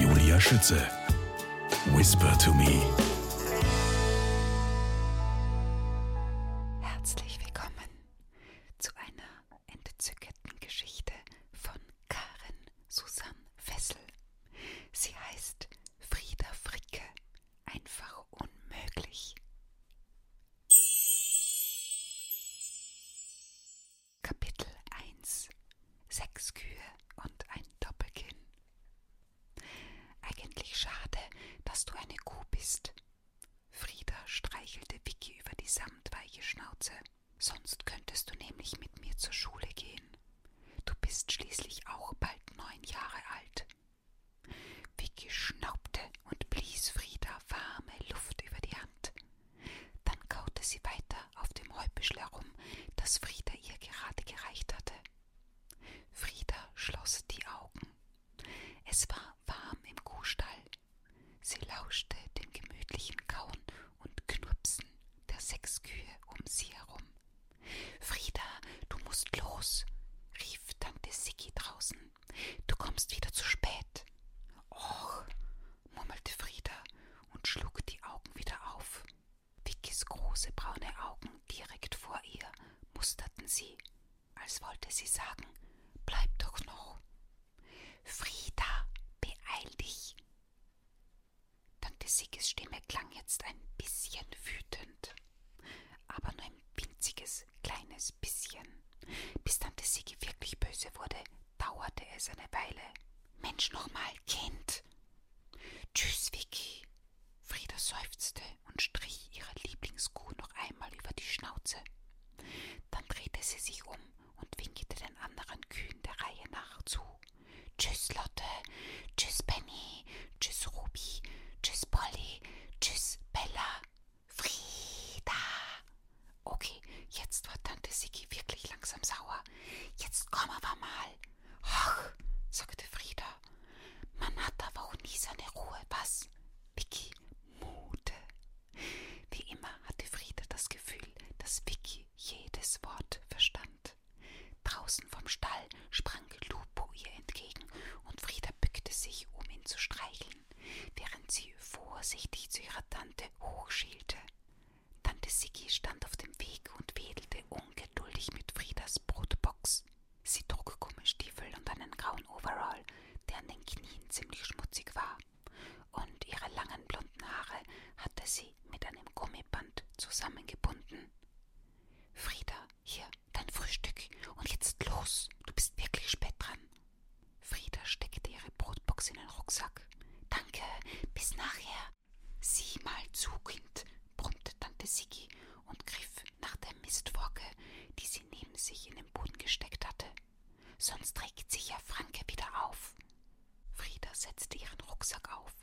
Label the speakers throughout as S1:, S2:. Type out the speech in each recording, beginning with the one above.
S1: Julia Schütze. Whisper to me. Herzlich willkommen zu einer entzückenden Geschichte von Karen Susanne Fessel. Sie heißt Frieda Fricke. Einfach unmöglich. Kapitel 1 Sechs Kühe und ein Doppelkinn Eigentlich schade, dass du eine Kuh bist. Frieda streichelte Vicky über die samtweiche Schnauze. Sonst könntest du nämlich mit mir zur Schule gehen. Du bist schließlich auch bald neun Jahre alt. Vicky schnaubte und blies Frieda warme Luft über die Hand. Dann kaute sie weiter auf dem Heubüschel herum, das Frieda ihr gerade gereicht hatte. Frieda schloss die Augen. Es war warm im Kuhstall. Sie lauschte dem gemütlichen Kauen und Knurpsen der sechs Kühe um sie herum. Frieda, du musst los, rief Tante Siggi draußen. Du kommst wieder zu spät. Och, murmelte Frieda und schlug die Augen wieder auf. Vickys große braune Augen direkt vor ihr musterten sie, als wollte sie sagen, bleib doch noch. Frieda, beeil dich. Tante Sigges Stimme klang jetzt ein bisschen wütend, aber nur ein winziges, kleines bisschen. Bis Tante Sigge wirklich böse wurde, dauerte es eine Weile. Mensch nochmal, Kind. Tschüss, Vicky. Frieda seufzte und strich ihrer Lieblingskuh noch einmal über die Schnauze. Dann drehte sie sich um und winkte den anderen Kühen der Reihe nach zu. Tschüss, Lotte. Tschüss, Benny. Tschüss, Ruby. Tschüss, Polly. Tschüss, Bella. Frieda. Okay, jetzt wird Tante Siki wirklich langsam sauer. Jetzt kommen wir mal. Ach, sagte Frieda. Man hat aber auch nie seine Ruhe, was? Vicky Mute. Wie immer hatte Frieda das Gefühl, dass Vicky jedes Wort verstand. Draußen vom Stall sprang Lupo ihr entgegen und Frieda bückte sich, um ihn zu streicheln, während sie vorsichtig zu ihrer Tante hochschielte. Tante Siggi stand auf dem Weg und wedelte ungeduldig mit Friedas Brotbox. Sie trug Gummistiefel und einen grauen Overall, der an den Knien ziemlich schmutzig war, und ihre langen blonden Haare hatte sie mit einem Gummiband zusammengebunden. Frieda, hier, dein Frühstück, und jetzt los, du bist wirklich spät dran. Frieda steckte ihre Brotbox in den Rucksack. Danke, bis nachher, Sieh mal zu, Kind, brummte Tante Siggi und griff nach der Mistwolke, die sie neben sich in den Boden gesteckt hatte. Sonst regt sich ja Franke wieder auf. Frieda setzte ihren Rucksack auf.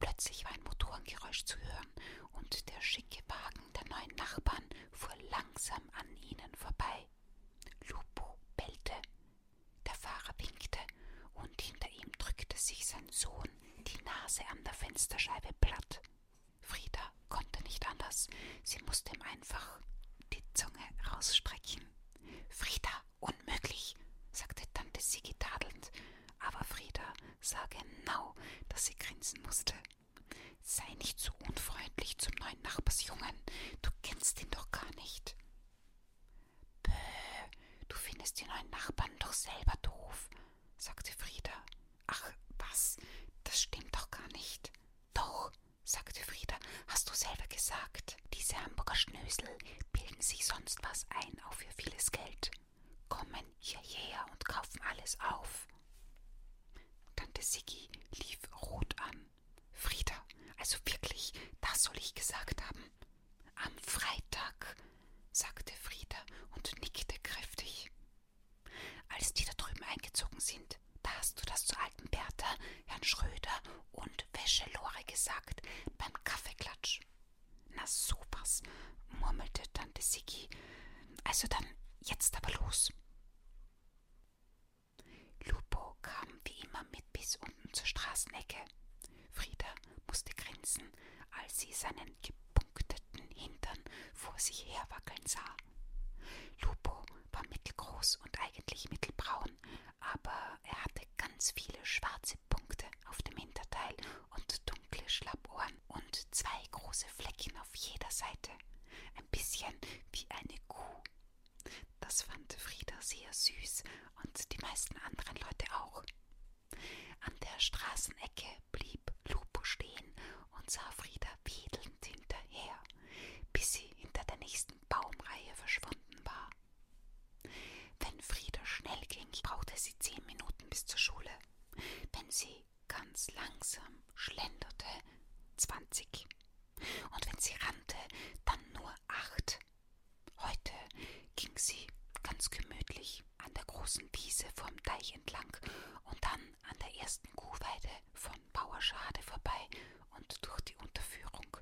S1: Plötzlich war ein Motorengeräusch zu hören und der schicke Wagen der neuen Nachbarn fuhr langsam an ihnen vorbei. Lupo bellte, der Fahrer winkte, und hinter ihm drückte sich sein Sohn die Nase an der Fensterscheibe platt. Frieda konnte nicht anders, sie musste ihm einfach die Zunge rausstrecken. Frieda, unmöglich, sagte Tante Sigi tadelnd, aber Frieda sah genau, dass sie grinsen musste. Sei nicht so unfreundlich zum neuen Nachbarsjungen, du kennst ihn doch gar nicht. Bäh, du findest den neuen Nachbarn doch selber doof, sagte Frieda. Ach, was? Das stimmt doch gar nicht. Doch, sagte Frieda, hast du selber gesagt. Diese Hamburger Schnösel bilden sich sonst was ein, auch für vieles Geld. Kommen hierher und kaufen alles auf. Tante Siggi lief rot an. Frieda, also wirklich, das soll ich gesagt haben. Am Freitag, sagte Frieda und nickte kräftig. Als die da drüben eingezogen sind, da hast du das zur alten Bertha, Herrn Schröder und Wäschelore gesagt, beim Kaffeeklatsch. Na sowas, murmelte Tante Siggi. Also dann jetzt aber los. Lupo kam wie immer mit bis unten zur Straßenecke. Frieda musste grinsen, als sie seinen gepunkteten Hintern vor sich herwackeln sah. Lupo war mittelgroß und eigentlich mittelbraun, aber er hatte ganz viele schwarze Punkte auf dem Hinterteil und dunkle Schlappohren und zwei große Flecken auf jeder Seite, ein bisschen wie eine Kuh. Das fand Frieda sehr süß und die meisten anderen Leute auch. An der Straßenecke blieb Lupo stehen und sah Frieda wedelnd hinterher, bis sie hinter der nächsten Baumreihe verschwunden war. Wenn Frieda schnell ging, brauchte sie zehn Minuten bis zur Schule. Wenn sie ganz langsam schlenderte, zwanzig. Und wenn sie rannte, dann nur acht. Nacht. Heute ging sie ganz gemütlich an der großen Wiese vom Deich entlang und dann an der ersten Kuhweide von Bauerschade vorbei und durch die Unterführung.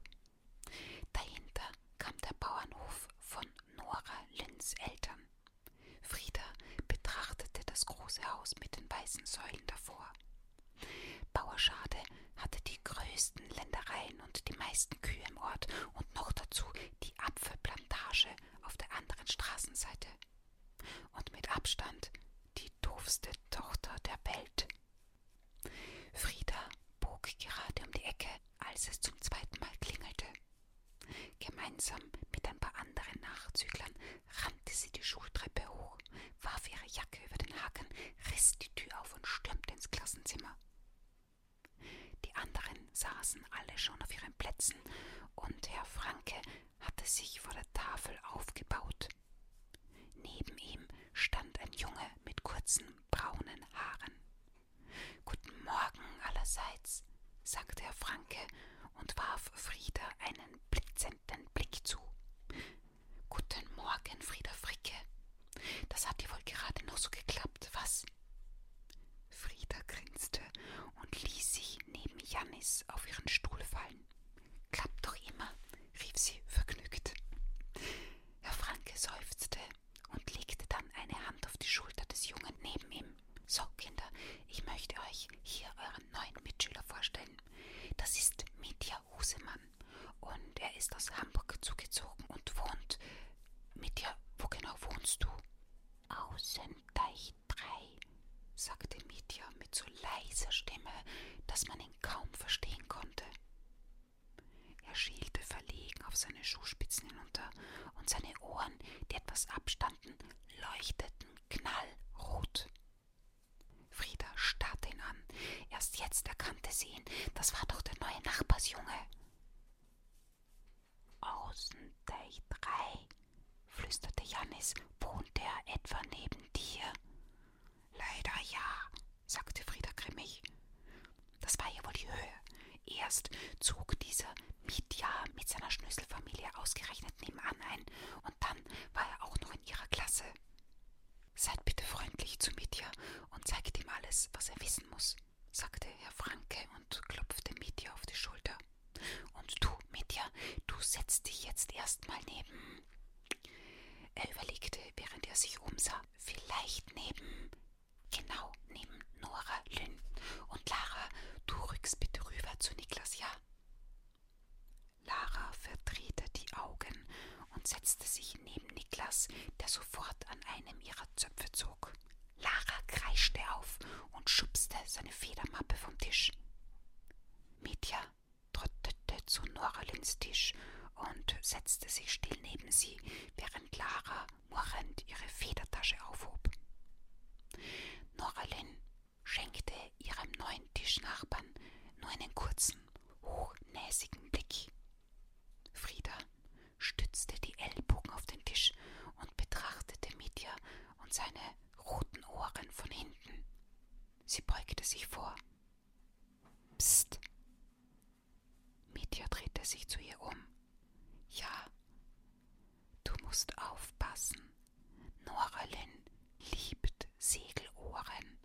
S1: Dahinter kam der Bauernhof von Nora Lynns Eltern. Frieda betrachtete das große Haus mit den weißen Säulen davor. Bauerschade hatte die die größten Ländereien und die meisten Kühe im Ort und noch dazu die Apfelplantage auf der anderen Straßenseite. Und mit Abstand die doofste Tochter der Welt. Frieda bog gerade um die Ecke, als es zum zweiten Mal klingelte. Gemeinsam mit ein paar anderen Nachzüglern rannte sie die Schultreppe hoch, warf ihre Jacke über den Haken, riss die Tür auf und stürmte ins Klassenzimmer. Die anderen saßen alle schon auf ihren Plätzen, und Herr Franke hatte sich vor der Tafel aufgebaut. Neben ihm stand ein Junge mit kurzen braunen Haaren. Guten Morgen allerseits, sagte Herr Franke und warf Frieda einen blitzenden Blick zu. Guten Morgen, Frieda Fricke, das hat dir wohl gerade noch so geklappt, was? Frieda grinste und ließ sich neben Jannis auf ihren Stuhl fallen. Klappt doch immer, rief sie vergnügt. Herr Franke seufzte und legte dann eine Hand auf die Schulter des Jungen neben ihm. So, Kinder, ich möchte euch hier euren neuen Mitschüler vorstellen. Das ist Mitya Husemann und er ist aus Hamburg zugezogen und wohnt mit dir, wo genau wohnst du? Außen Deich 3, sagte Mitya mit so leiser Stimme, dass man ihn kaum verstehen konnte. Er schielte verlegen auf seine Schuhspitzen hinunter und seine Ohren, die etwas abstanden, leuchteten knallrot. Frieda starrte ihn an. Erst jetzt erkannte sie ihn. Das war doch der neue Nachbarsjunge. Außenteich 3, flüsterte Janis, wohnt er etwa neben dir? Leider ja, sagte Frieda grimmig. Das war ja wohl die Höhe. Erst zog dieser Mietja mit seiner Schnüsselfamilie ausgerechnet nebenan ein und dann war er auch noch in ihrer Klasse. Seid bitte freundlich zu Mietja und zeigt ihm alles, was er wissen muss sagte Herr Franke und klopfte Mitya auf die Schulter. Und du, Mitya, du setzt dich jetzt erstmal neben. Er überlegte, während er sich umsah, vielleicht neben. Genau, neben Nora, Lynn. Und Lara, du rückst bitte rüber zu Niklas, ja? Lara verdrehte die Augen und setzte sich sich neben Niklas, der sofort an einem ihrer Zöpfe zog. Lara kreischte auf und schubste seine Federmappe vom Tisch. Mitya trottete zu Noralins Tisch und setzte sich still neben sie, während Lara murrend ihre Federtasche aufhob. Noralin schenkte ihrem neuen Tischnachbarn nur einen kurzen, hochnäsigen Blick. Frieda stützte die Ellbogen auf den Tisch und betrachtete Mitya und seine roten Ohren von hinten. Sie beugte sich vor. Psst. Mitya drehte sich zu ihr um. Ja, du musst aufpassen. Nora Lynn liebt Segelohren.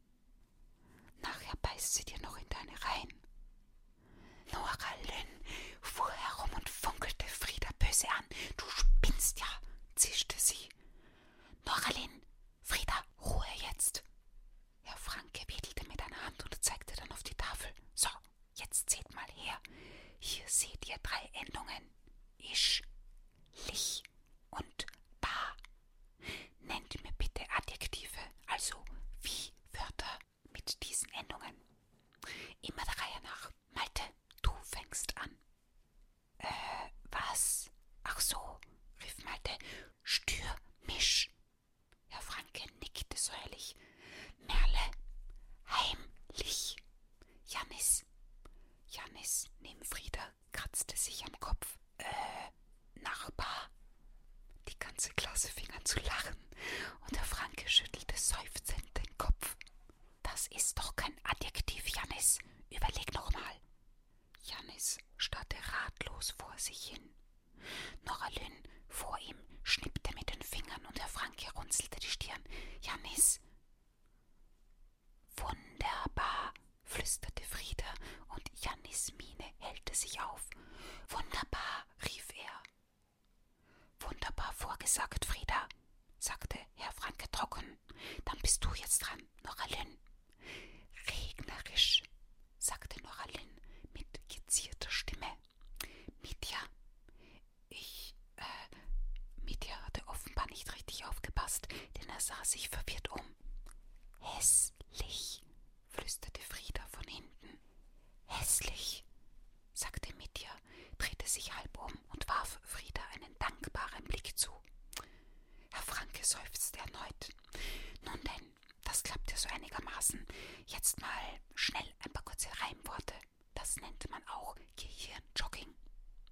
S1: Nachher beißt sie dir noch in deine Reihen. Nora Lynn fuhr herum und funkelte Frieda böse an. Du spinnst ja, zischte sie. Nora Lynn, Frieda, Ruhe jetzt. Herr Franke wedelte mit einer Hand und zeigte dann auf die Tafel. So, jetzt seht mal her. Hier seht ihr drei Endungen. Isch, lich und ba. Nennt mir bitte Adjektive, also wie Wörter mit diesen Endungen. Immer der Reihe nach. Malte, du fängst an. Äh, was? Ach so, rief Malte. Stür mich. Herr Franke nickte säuerlich. Merle, heimlich. Janis. Janis neben Frieda kratzte sich am Kopf. Äh, Nachbar, die ganze Klasse fing an zu lachen und der Franke schüttelte seufzend den Kopf. Das ist doch kein Adjektiv, Janis. Überleg noch mal. Janis starrte ratlos vor sich hin. Noralyn vor ihm schnippte mit den Fingern und der Franke runzelte die Stirn. Janis. Wunderbar, flüsterte Frieda und Janis Miene hellte sich auf. Wunderbar, rief er. Wunderbar vorgesagt, Frieda, sagte Herr Franke trocken. Dann bist du jetzt dran, Nora Lynn. Regnerisch, sagte Nora Lynn mit gezierter Stimme. Mitya, ich, äh, Mitya hatte offenbar nicht richtig aufgepasst, denn er sah sich verwirrt um. Hässlich, flüsterte Frieda von hinten. Hässlich, sagte Mitya, drehte sich halb um und warf Frieda einen dankbaren Blick zu. Herr Franke seufzte erneut. Nun denn, das klappte so einigermaßen. Jetzt mal schnell ein paar kurze Reimworte. Das nennt man auch Gehirnjogging.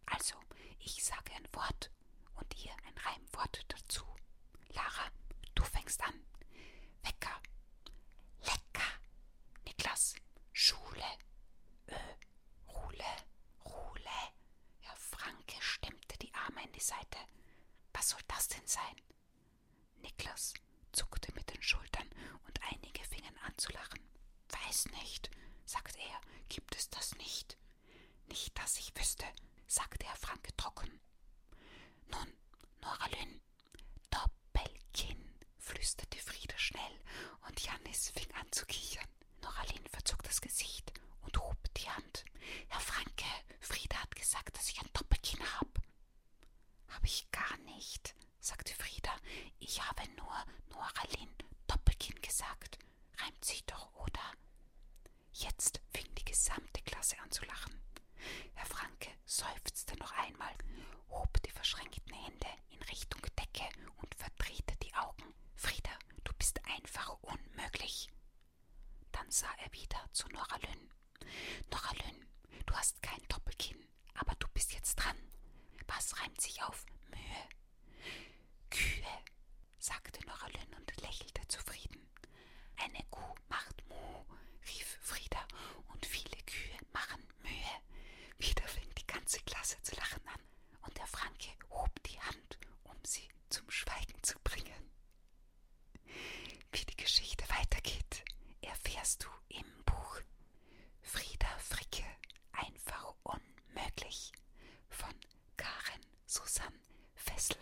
S1: Also, ich sage ein Wort und ihr ein Reimwort dazu. Lara, du fängst an. Wecker, Lecker. Niklas. Schule. Ö. Äh, Ruhle. Ruhle. Herr Franke stemmte die Arme in die Seite. Was soll das denn sein? Niklas zuckte mit den Schultern und einige fingen an zu lachen. Weiß nicht, sagte er, gibt es das nicht? Nicht, dass ich wüsste, sagte Herr Franke trocken. Nun, Nora Lynn, Doppelkinn, flüsterte Frieda schnell, und Jannis fing an zu kichern. Noraline verzog das Gesicht und hob die Hand. Herr Franke, Frieda hat gesagt, dass ich ein Doppelkinn habe. Habe ich gar nicht, sagte Frieda. Ich habe nur Noraline Doppelkinn gesagt. Reimt sich doch, oder? Jetzt fing die gesamte Klasse an zu lachen. Herr Franke seufzte noch einmal, hob die verschränkten Hände in Richtung Decke und verdrehte die Augen. Frieda, du bist einfach unmöglich. Dann sah er wieder zu Nora Lynn. Nora Lynn, du hast kein Doppelkinn, aber du bist jetzt dran. Was reimt sich auf Mühe? Kühe, sagte Nora Lynn und lächelte zufrieden. Eine Kuh macht Mu, rief Frieda, und viele Kühe machen Mühe. Wieder fing die ganze Klasse zu lachen an, und der Franke hob die Hand, um sie zum Schweigen zu bringen. Wie die Geschichte weitergeht, erfährst du im Buch Frieda Fricke, einfach unmöglich von Karen Susanne Fessel.